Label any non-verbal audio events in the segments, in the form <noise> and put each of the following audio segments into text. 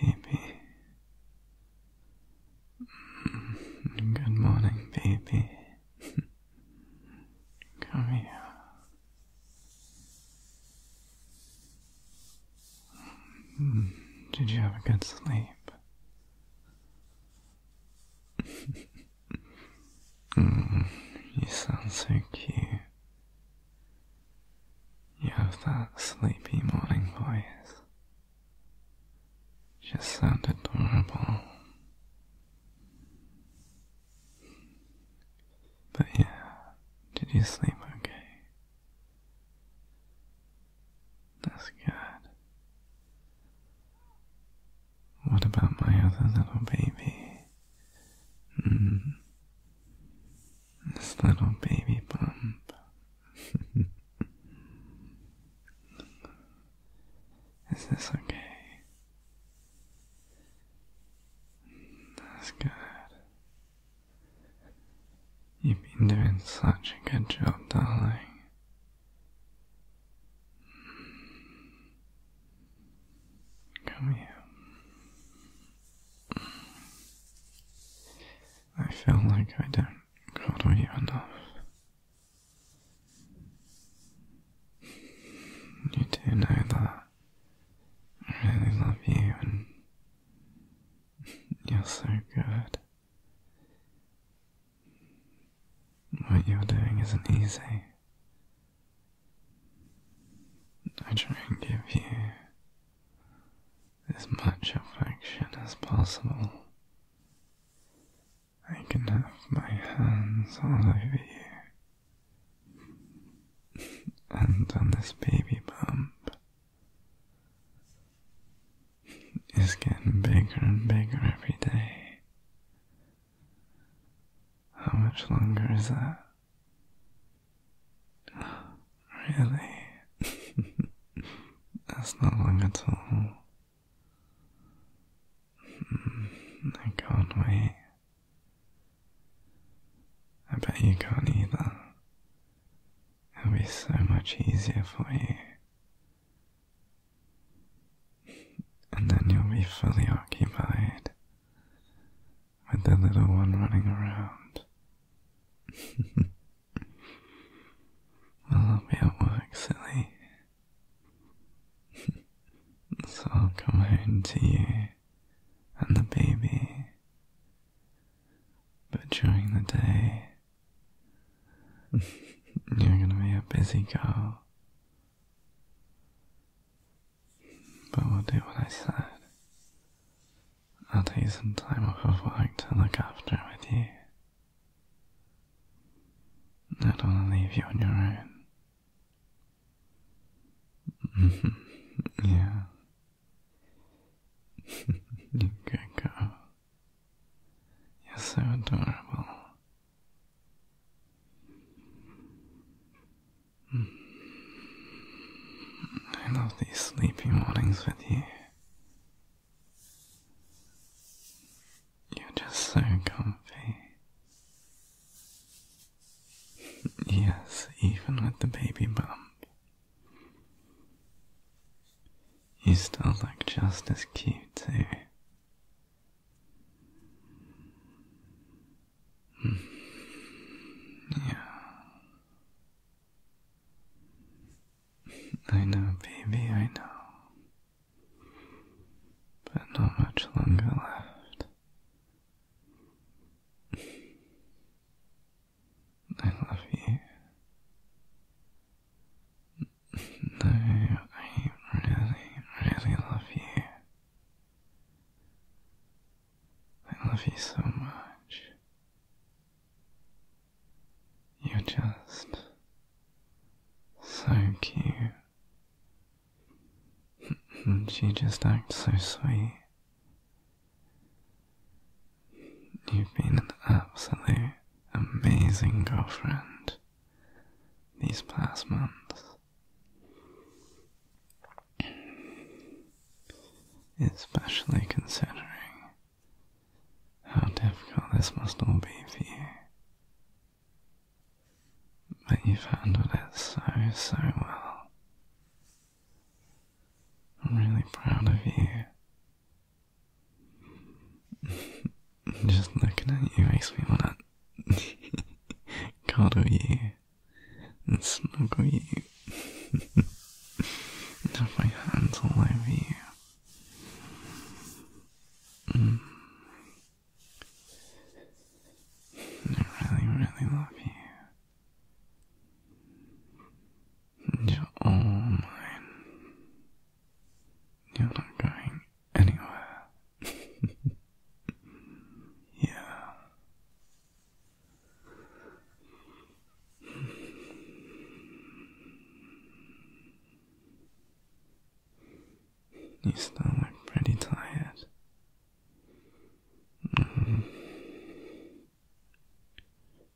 Baby. Good morning, baby. Come here. Did you have a good sleep? <laughs> Mm, you sound so cute. You have that sleepy morning voice. Just sound adorable. But yeah, did you sleep okay? That's good. What about my other little baby? Hmm. This little baby bump. <laughs> Is this okay? That's good. You've been doing such a good job, darling. Come here. I feel like I don't cuddle you enough. You do know that I really love you and you're so good. What you're doing isn't easy. I try and give you as much affection as possible. I can have my hands all over you and on this baby bump is getting bigger and bigger every day. How much longer is that? <sighs> Really? <laughs> That's not long at all. Hmm, I can't wait. I bet you can't either. It'll be so much easier for you. And then you'll be fully occupied with the little one running around. <laughs> I'll be at work, silly. <laughs> so I'll come home to you and the baby. But during the day, <laughs> you're gonna be a busy girl. But we'll do what I said. I'll take some time off of work to look after with you. I don't want to leave you on your own. <laughs> yeah. <laughs> you good girl. You're so adorable. I love these sleepy mornings with you. You're just so comfy yes, even with the baby bump, you still look just as cute, too. Hmm. Yeah. I know, baby, I know. But not much longer left. I love you. No, I really, really love you. I love you so much. You're just so cute Hmm, she just acts so sweet. You've been an absolutely amazing girlfriend these past months. Especially considering how difficult this must all be for you. But you've handled it so, so well. I'm really proud of you. <laughs> Just looking at you makes me want to <laughs> cuddle you and snuggle you <laughs> and have my hands all over you. Mm. I really, really love you. You're all mine. You're not going anywhere. <laughs> yeah. You still look pretty tired. Mm-hmm.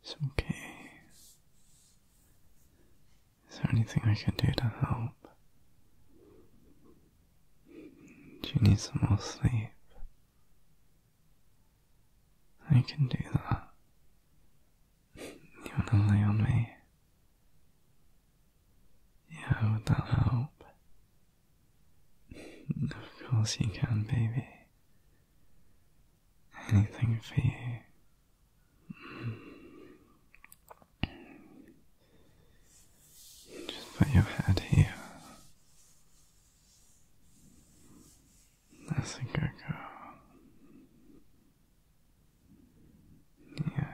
It's okay. Is there anything I can do to help? Do you need some more sleep? I can do that. You wanna lay on me? Yeah, would that help? of course you can, baby. Anything for you. Just put your head here. I think I go. Yeah.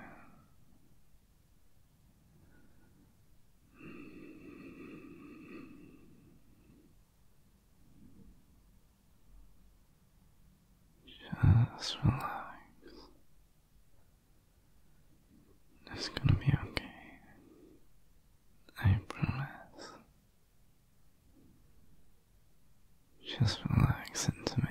Just relax. It's gonna be okay. I promise. Just relax into me.